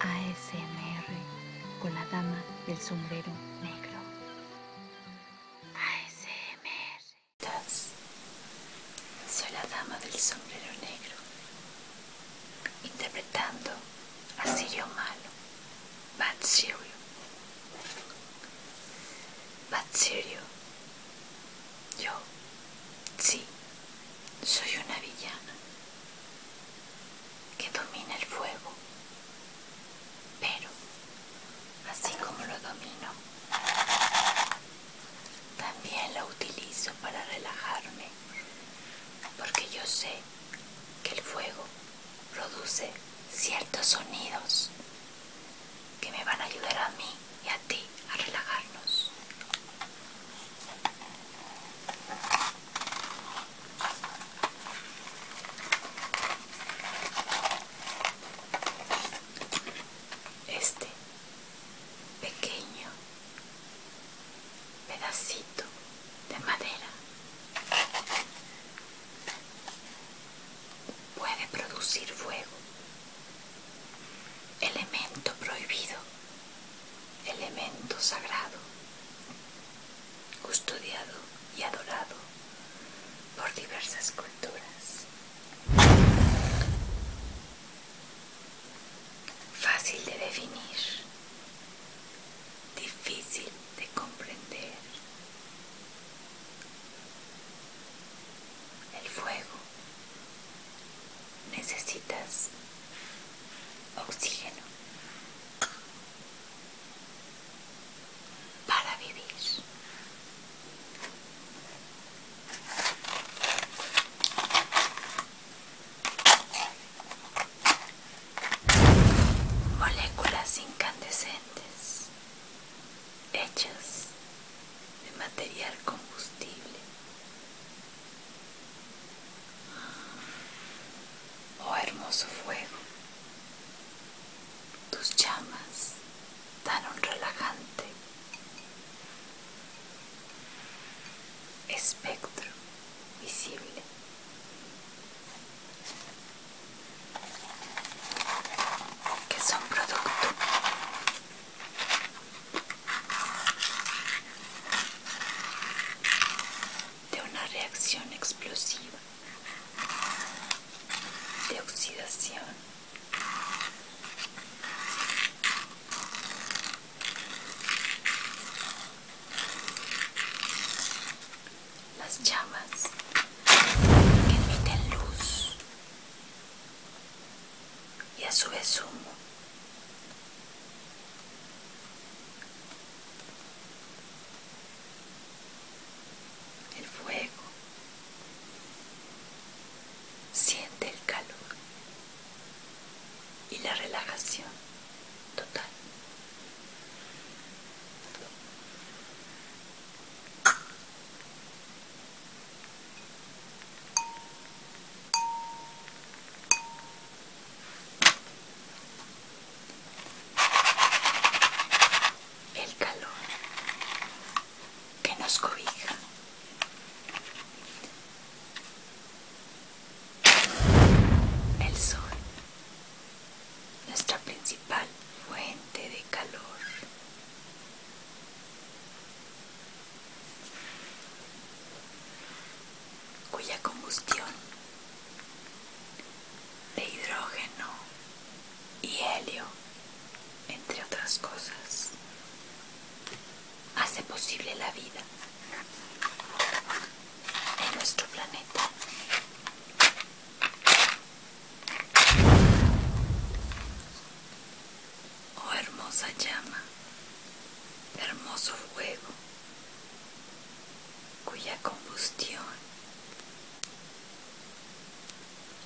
ASMR con la dama del sombrero negro. ASMR. Soy la dama del sombrero negro, interpretando a Sirio Malo, Bad Sirio. Bad Sirio. Yo, sí, soy una villana que domina el fuego, pero así como lo domino, también lo utilizo para relajarme, porque yo sé que el fuego produce ciertos sonidos que me van a ayudar a mí y a ti a relajarnos. Este pequeño pedacito de madera puede producir fuego elemento prohibido, elemento sagrado, custodiado y adorado por diversas culturas. Fácil de definir, difícil de comprender. El fuego necesitas oxígeno para vivir. Moléculas incandescentes hechas de material combustible oh hermoso fuego tus llamas dan un relajante espectro visible que son producto de una reacción explosiva de oxidación las llamas que emiten luz y a su vez humo. El fuego. Siente el calor y la relajación total el calor que nos cobija. El sol, nuestra principal fuente de calor cuya combustión de hidrógeno y helio, entre otras cosas, hace posible la vida en nuestro planeta oh hermosa llama, hermoso fuego, cuya combustión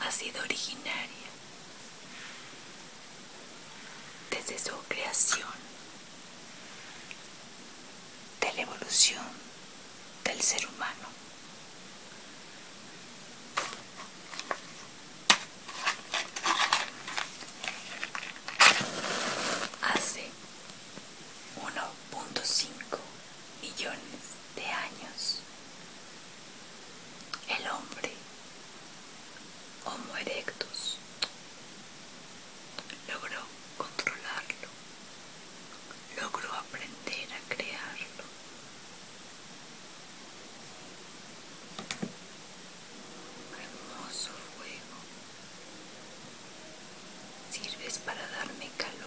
ha sido originaria desde su creación de la evolución del ser humano. Hace 1.5 millones de años, el hombre Homo erectus logró controlarlo, logró aprender a crearlo Hermoso fuego, sirves para darme calor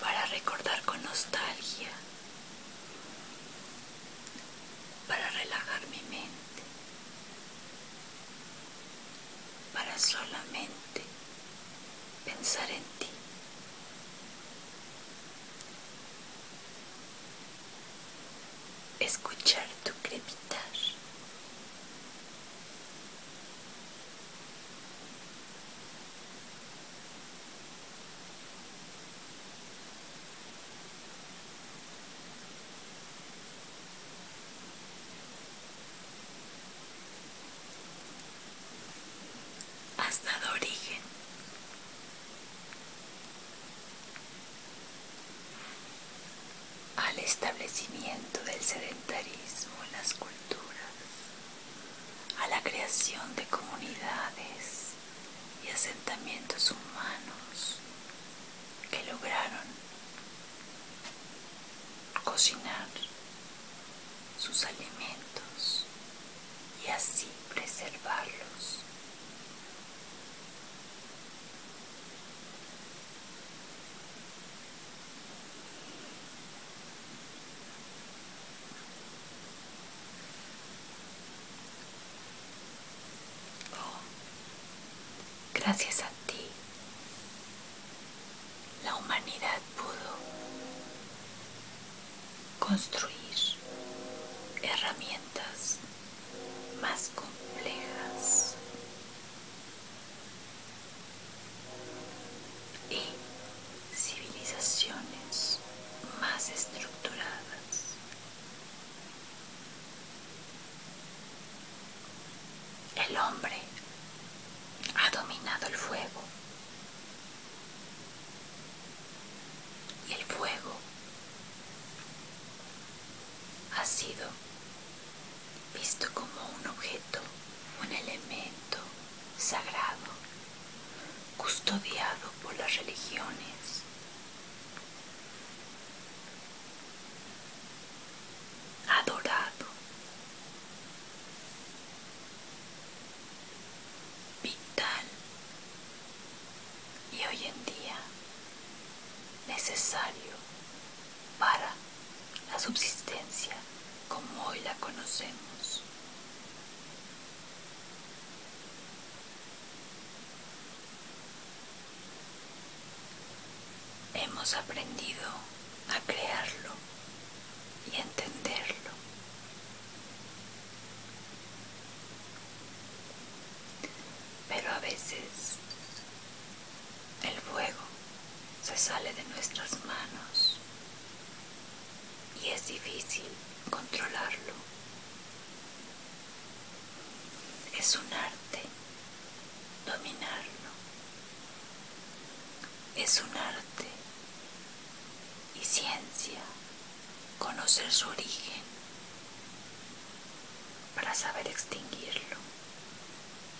para recordar con nostalgia, para relajar mi mente, para solamente pensar en ti. Escuchar tu crepitar has dado origen al establecimiento del sedentarismo en las culturas a la creación de comunidades y asentamientos humanos que lograron cocinar sus alimentos y así preservarlos gracias a ti, la humanidad pudo construir herramientas más complejas y civilizaciones más estructuradas. El hombre ha dominado el fuego y el fuego ha sido visto como un objeto, un elemento sagrado, custodiado por las religiones. Adorado. Vital. Y hoy en día necesario para la subsistencia como hoy la conocemos. Hemos aprendido a crearlo y entenderlo. Pero a veces el fuego se sale de nuestras manos y es difícil controlarlo. Es un arte dominarlo. Es un arte y ciencia conocer su origen para saber extinguirlo.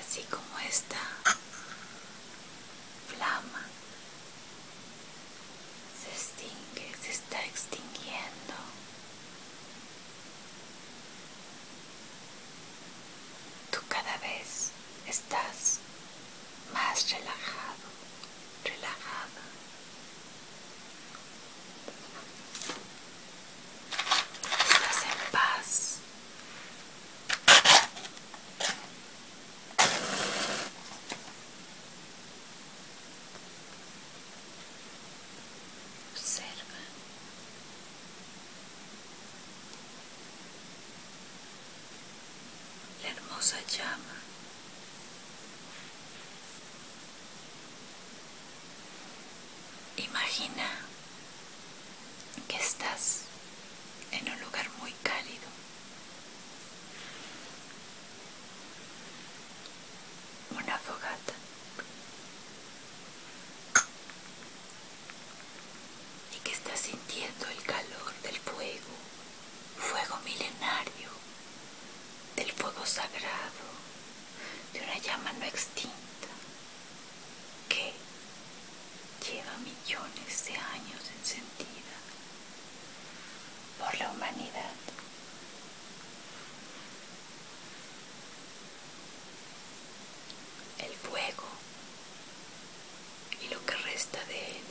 así como esta flama se extingue, se está extinguiendo. Tú cada vez estás más relajado, relajada. Estás en paz. Observa. La hermosa llama. Imagina que estás en un lugar muy cálido. Una fogata. Y que estás sintiendo el calor del fuego, fuego milenario, del fuego sagrado, de una llama no extinta que lleva millones de años encendida por la humanidad. El fuego y lo que resta de él.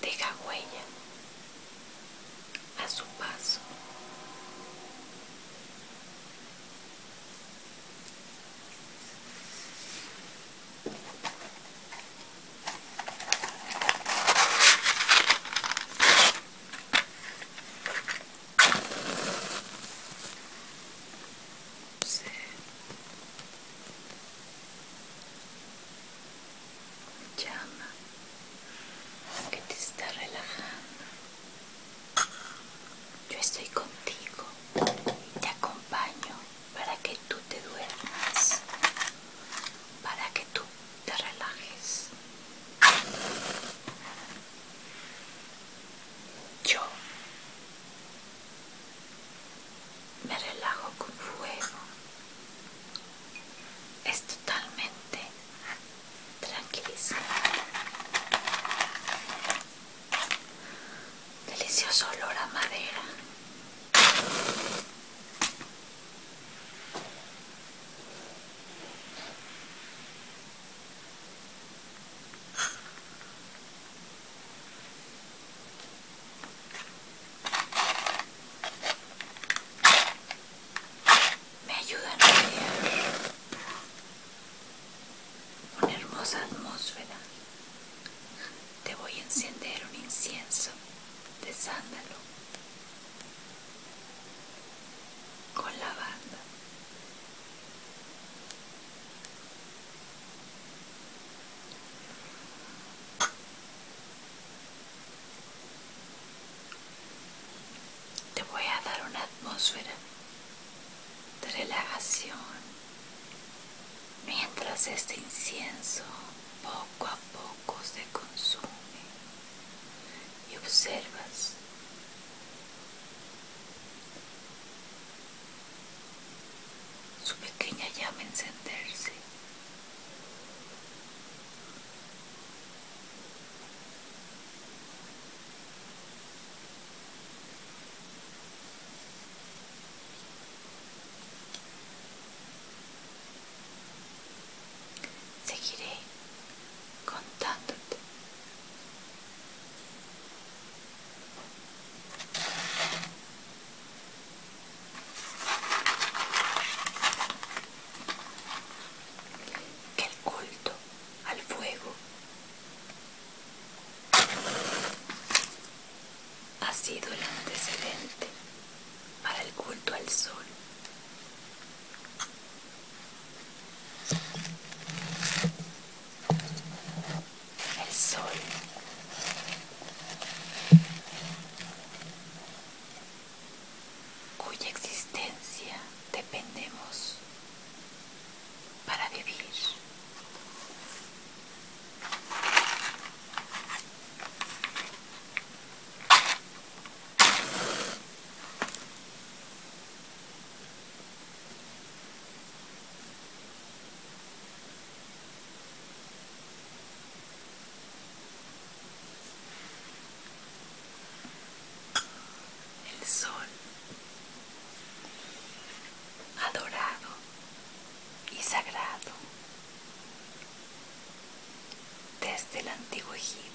deja huella a su paso. Observe llama que te está relajando. Yo estoy contigo, te acompaño para que tú te duermas, para que tú te relajes. Yo me relajo con fuego. Es totalmente tranquilizante. Delicioso olor a madera me ayudan a crear una hermosa atmósfera. Te voy a encender un incienso de sándalo con lavanda te voy a dar una atmósfera de relajación mientras este incienso poco a poco se consume y observas su pequeña llama encenderse. Seguiré contándote que el culto al fuego ha sido el antecedente para el culto al sol el sol. cuya existencia dependemos para vivir. El sol adorado y sagrado desde el antiguo Egipto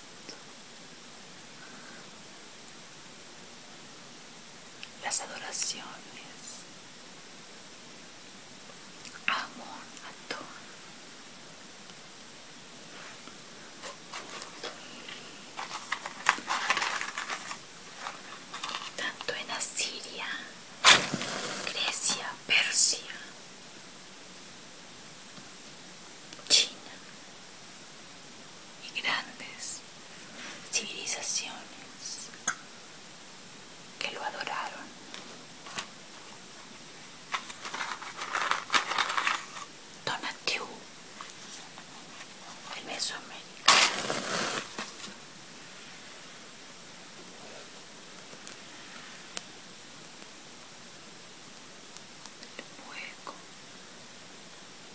las adoraciones. Amor a todo. Tanto en Asiria, Grecia, Persia, China y grandes civilizaciones que lo adoraron. Donatiu, el Mesoamérica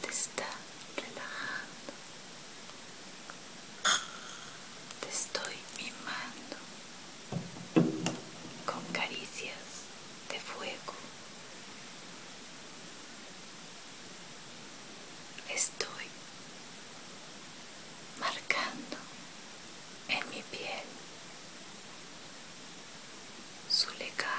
te está relajando. Te estoy mimando con caricias de fuego. Estoy marcando en mi piel su legado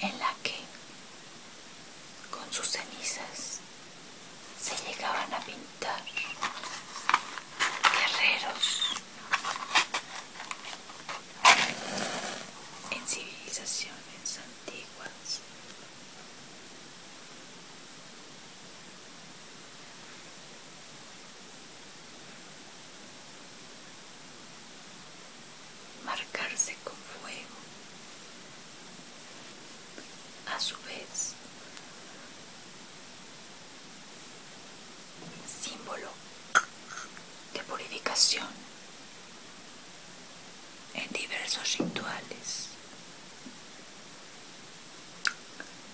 en la que con sus cenizas se llegaban a pintar guerreros en civilizaciones antiguas marcarse con fuego. A su vez, símbolo de purificación en diversos rituales,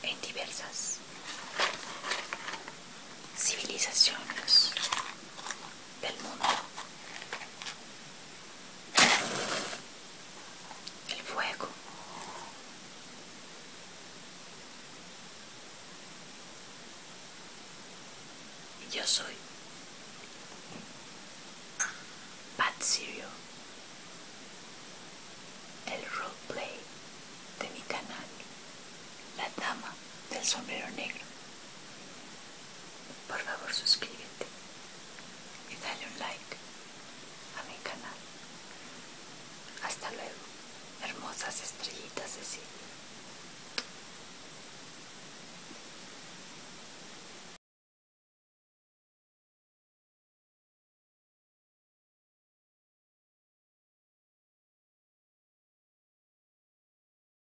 en diversas civilizaciones del mundo el fuego y yo soy Pat Sirio el roleplay de mi canal La Dama del Sombrero Negro por favor suscríbete y dale un like a mi canal. Hasta luego, hermosas estrellitas de sí.